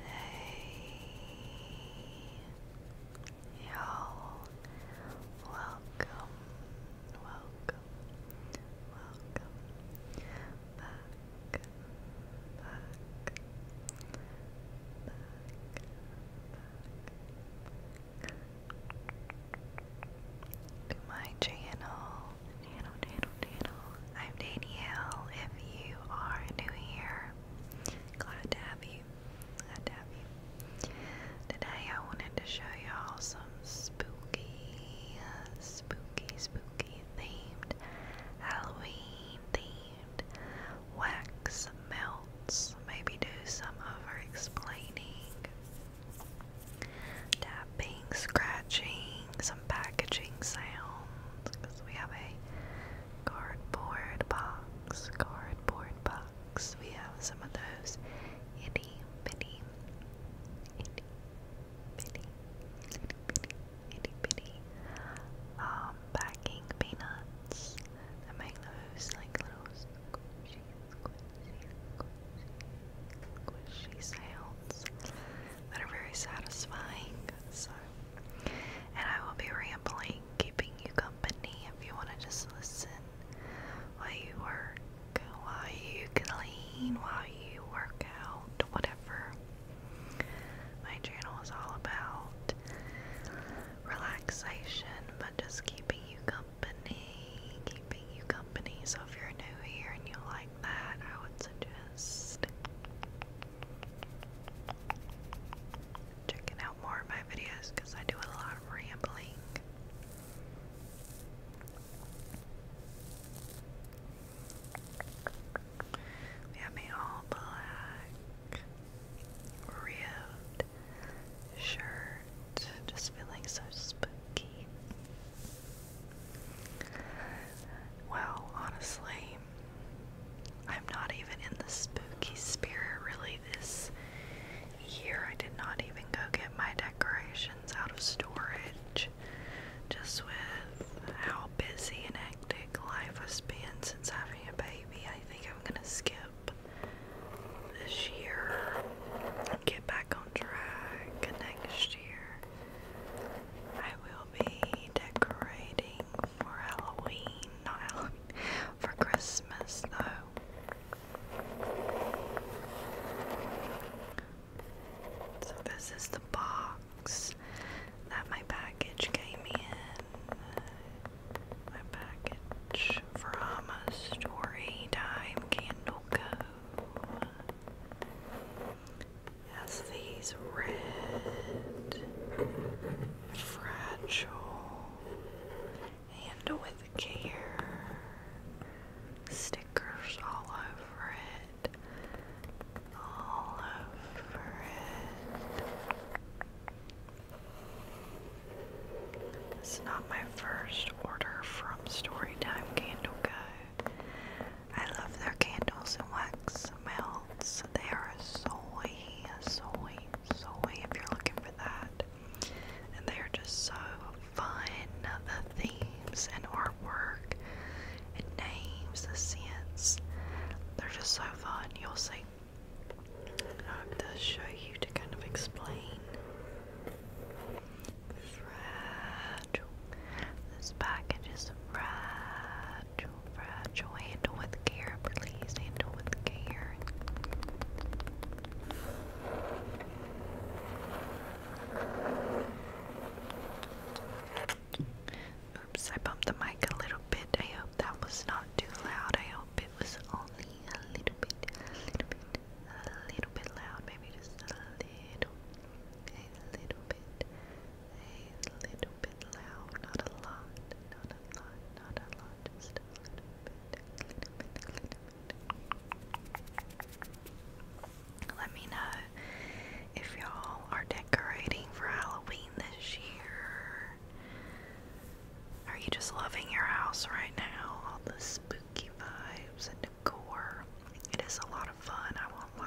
Hey, y'all. Welcome, welcome, welcome back, back, to my channel. Daniel, Daniel, Daniel. I'm Danielle. If you are new here, glad to have you. Glad to have you. Today I wanted to show y'all some spooky, spooky, spooky themed, Halloween themed wax melts. Maybe do some over explaining. Dive tapping, scratching, some packaging sounds because we have a cardboard box, cardboard box. We have some of those itty bitty, itty bitty, um, packing peanuts. I make those like little squishy, squishy, squishy sounds that are very satisfying. So, and I will be rambling, keeping you company if you want to just listen while you work, while you clean, while you work out, whatever. My channel is all about relaxation, but just keeping you company, keeping you so if you're new here and you like that, I would suggest checking out more of my videos because I do a lot of rambling. have an all black ribbed shirt, just feeling so spooky. Well, honestly, I'm not even in the spooky spirit really this year. I did not even go get my decorations out of storage. Just with how busy and hectic life has been since having a baby, I think I'm gonna skip this year and get back on track next year. I will be decorating for Halloween, not for Christmas though. So, this is the box that my package came in. My package from a Storytime Candle Co as these red, fragile, and with care stickers all over it, all over it. It's not my first order from Storytime Candle Guy. I love their candles and wax melts. They are soy, soy, soy if you're looking for that. And they are just so fun. The themes and artwork and names, the scents. They're just so fun. You'll see. I hope this show you to kind of explain fragile. This package is fragile, fragile. Handle with care, please. Handle with care. Oops, I bumped the mic a little bit. I hope that was not too loud. I hope it was only a little bit, a little bit, a little bit loud, maybe just a little, a little bit, a little bit loud, not a lot, not a lot, not a lot, just a little bit, Let me know if y'all are decorating for Halloween this year. Are you just loving your house right now? All the spooky vibes and gore. It is a lot of fun, I won't lie.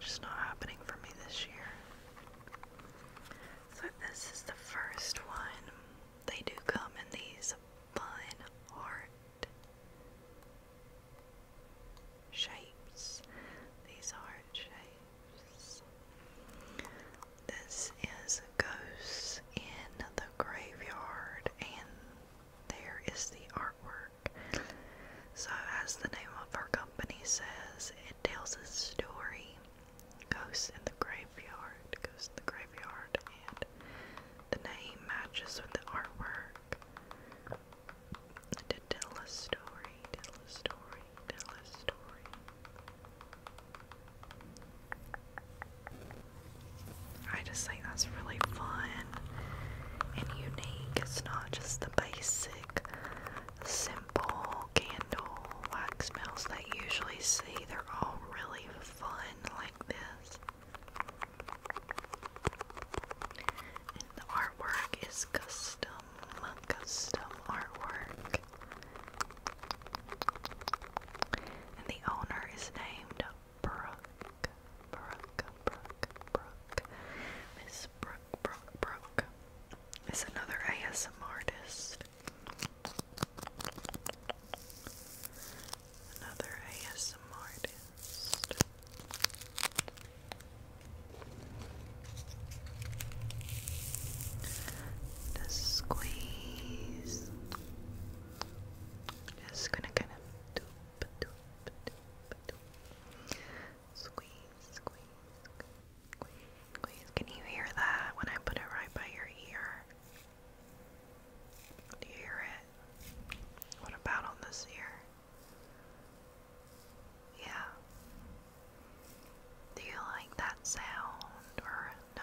just not happening for me this year. So this is the first one. They do come in these fun art shapes. These art shapes. This is Ghosts in the Graveyard and there is the artwork. So, as the name of our company says, it tells a story. Ghosts in the graveyard, ghosts in the graveyard, and the name matches with the artwork. To tell a story, tell a story, tell a story. I just think that's really fun and unique. It's not just the basic, simple candle wax melts that you usually see. They're all really fun like this. And the artwork is custom, custom artwork. And the owner is named Brooke, Brooke, Brooke, Brooke, Miss Brooke, Brooke, Brooke is another ASM artist. Another ASM artist. The squeeze, just gonna kind of doop, doop, doop, doop. Squeeze, squeeze, squeeze, Can you hear that when I put it right by your ear? hear it? What about on this ear? Yeah. Do you like that sound or no?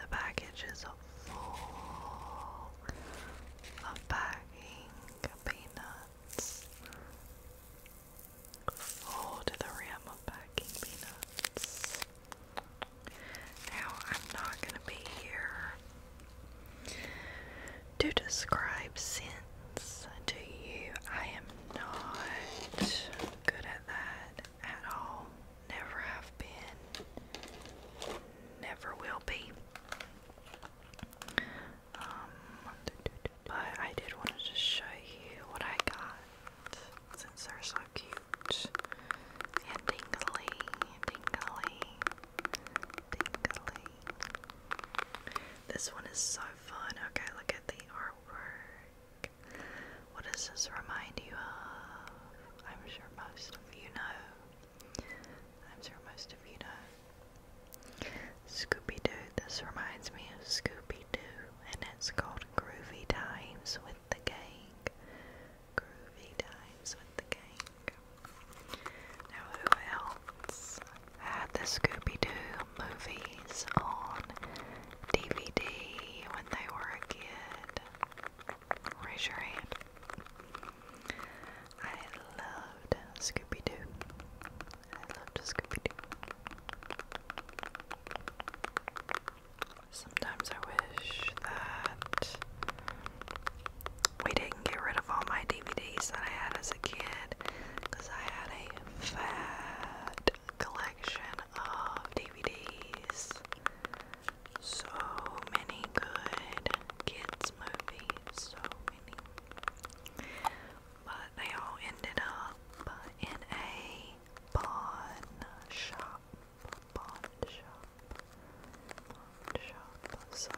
The package is full of packing peanuts. Full to the rim of packing peanuts. Now, I'm not going to be here to describe sins to you. I am not good at that at all. Never have been. Never will be. Um, but I did want to show you what I got since they're so cute and dingly, dingly, This one is so fun. Okay, look at the artwork. What does this remind you of? I'm sure most of you know. I'm sure most of you know. Scooby Doo. This reminds me of Scooby Doo, and it's called Groovy Times with the Gang. Groovy Times with the Gang. Now, who else had the Scooby Doo? movies on DVD when they were a kid? Raise your hand. I loved Scooby Doo. I loved Scooby Doo. Sometimes I wish that we didn't get rid of all my DVDs that I had as a kid because I had a fat collection of DVDs. So many good kids' movies, so many. But they all ended up in a pawn shop. Pawn shop. Pawn shop. So.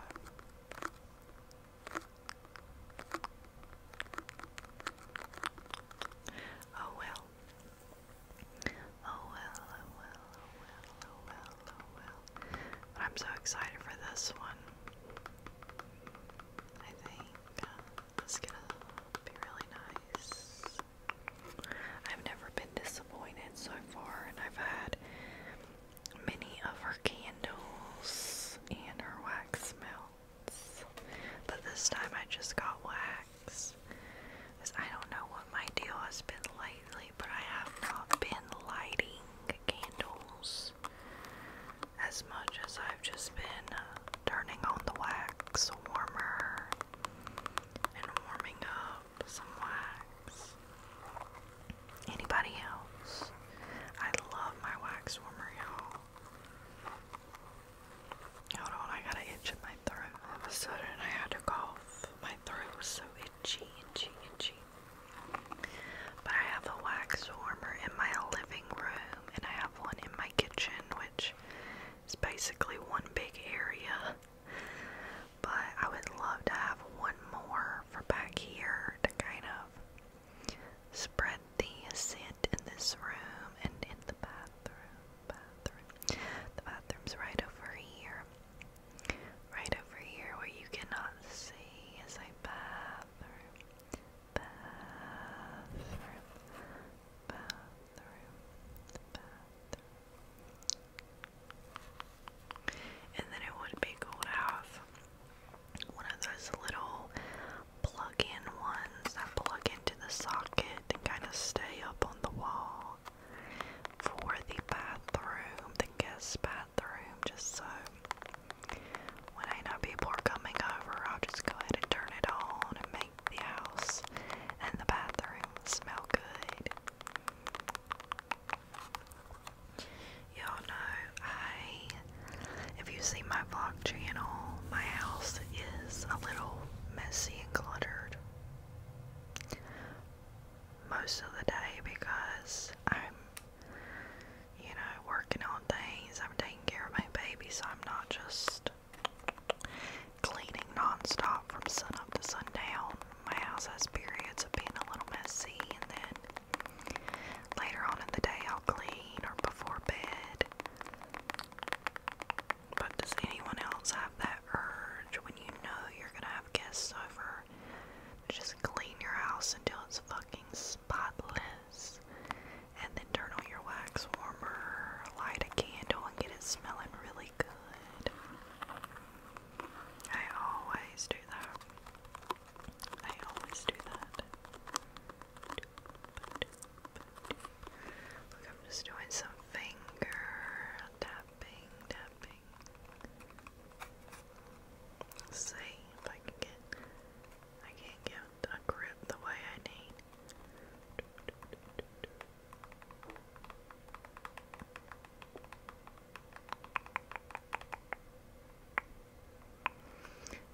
Oh well. Oh well, oh well, oh well, oh well, But I'm so excited for this one. I think uh, it's gonna be really nice. I've never been disappointed so far, and I've had many of her candles and her wax melt. But this time I just got wax. I don't know what my deal has been lately, but I have not been lighting candles as much as I've just been uh, turning on the wax warmer and warming up some wax. Anybody else? I love my wax warmer, y'all. Hold on, I got an itch in my throat. All of a sudden, I had to cough. My throat was so itchy, itchy, itchy. But I have a wax warmer in my living room, and I have one in my kitchen, which is basically one big area. But I would love to have one more for back here to kind of spread the scent in this room and in the bathroom. The bathroom's right over here. Right over here where you cannot see is a bathroom. Bathroom. Bathroom. And then it would be cooled off one of those little plug-in ones that plug into the socket and kind of stay up on the wall for the bathroom, the guest bathroom, just so when I people are coming over, I'll just go ahead and turn it on and make the house and the bathroom smell good y'all know I, if you see my vlog channel, my house is a little messy and cluttered most of the day because I'm, you know, working on things. I'm taking care of my baby, so I'm not just cleaning nonstop from sun up to sundown. My house has periods of being a little messy, and then Later on in the day, I'll clean or before bed. But does anyone else have that urge when you know you're gonna have guests over just clean your house until it's fucking spotless and then turn on your wax warmer, light a candle, and get it smelling really good? I always do that. I always do that. Look, I'm just doing some finger tapping, tapping. see if I can get. I can't get a grip the way I need.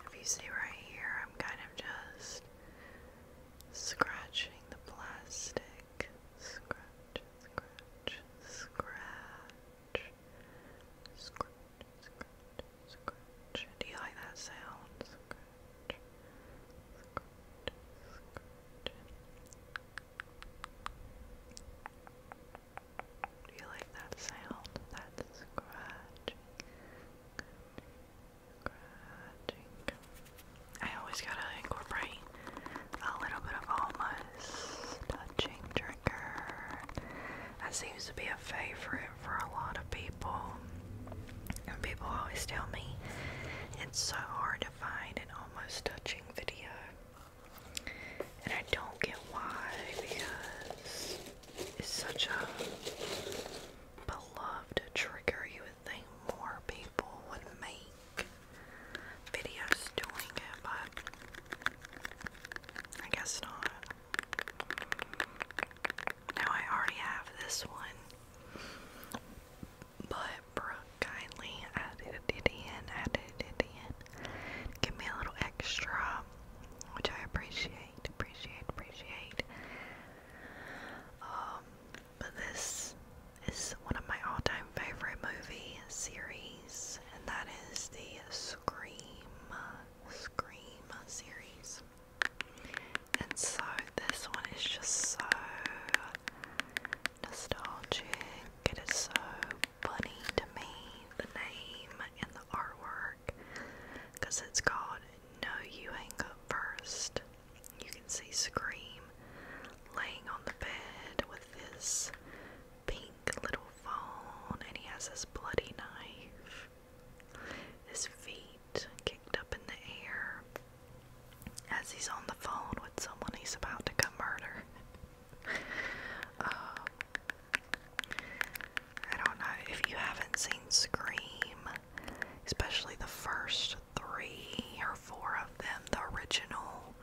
If you see right here, I'm kind of just scratching the plastic. Scratch, scratch, scratch. Scratch, scratch, scratch. Do you like that sound? Do you like that sound? That scratching, scratching. I always gotta incorporate a little bit of almost touching trigger. That seems to be a favorite for a lot of people. And people always tell me it's so hard to find an almost touching video. And I don't get why because it's such a beloved trigger. would think more people would make videos doing it, but I guess not. Now I already have this one. But Brooke kindly added it in, added it in. Give me a little extra which I appreciate, appreciate, appreciate. Um, but this is one of my all-time favorite movie series, and that is the Scream, Scream series. And so this one is just so nostalgic. It is so funny to me, the name and the artwork, because it's called No You Hang Up First. You can see Scream laying on the bed with this pink little phone, and he has this bloody knife. His feet kicked up in the air as he's on the phone with someone he's about to come murder. Um, I don't know if you haven't seen Scream, especially the first three or four of them, the original,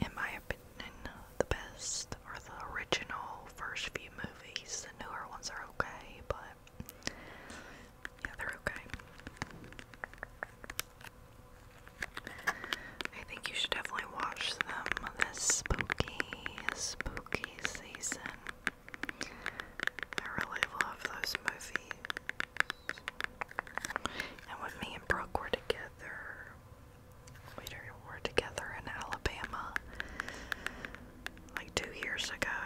in my opinion, the best are the original first few movies. The newer ones are okay, but yeah, they're okay. I think you should definitely watch them this spooky, spooky season. I really love those movies. And when me and Brooke were together, we were together in Alabama like two years ago,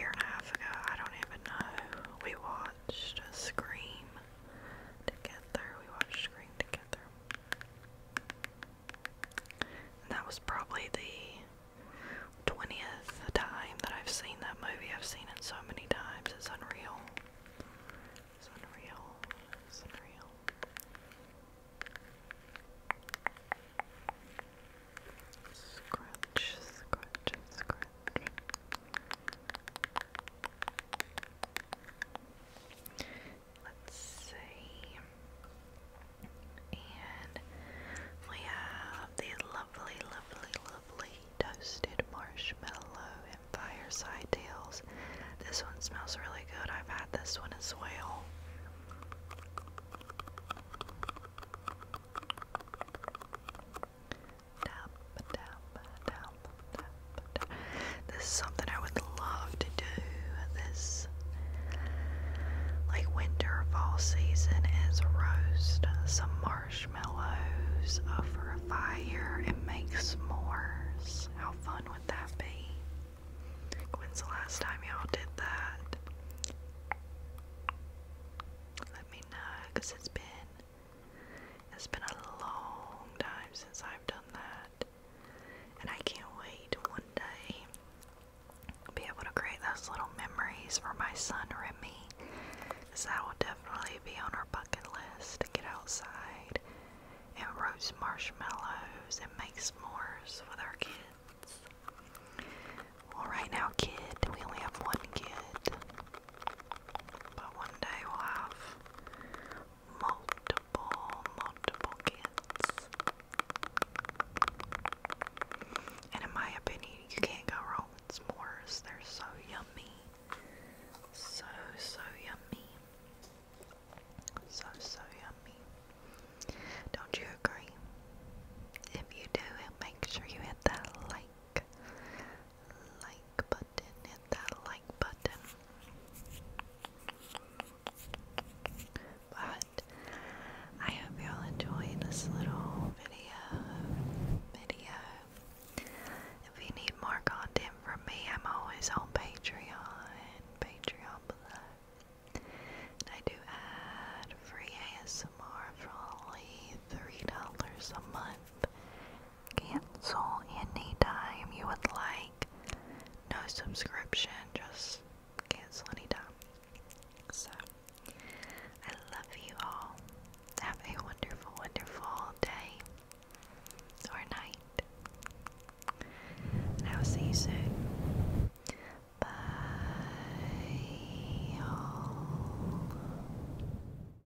year and a half ago, I don't even know. We watched Scream together. We watched Scream together that was probably the 20th time that I've seen that movie. I've seen it so many times, it's unreal. unreal. unreal. Scratch, scratch, scratch. Let's see. And we have the lovely, lovely, lovely toasted marshmallow and fireside tails. This one smells really good. I've had this one as well. Tap, tap, tap, this is something I would love to do this like winter fall season is roast uh, some marshmallows uh, over a fire and make s'mores. How fun would that be? When's the last time y'all did that? Let me know because it's been it's been a long time since I've done that. And I can't wait one day to be able to create those little memories for my son Remy. Because that will definitely be on our bucket list to get outside and roast marshmallows and make s'mores with our kids. Well, right now, kid, we only have one kid. But one day we'll have multiple, multiple kids. And in my opinion, you can't go wrong with s'mores. They're so yummy. So, so yummy. So, so yummy. Don't you agree? If you do, make sure you hit that like, like button, hit that like button. But I hope y'all enjoyed this little video. Video. If you need more content from me, I'm always on Patreon. Patreon below. I do add free ASMR for only $3 a month cancel anytime you would like. No subscription, just cancel anytime. So, I love you all. Have a wonderful, wonderful day or night. And I will see you soon. Bye. all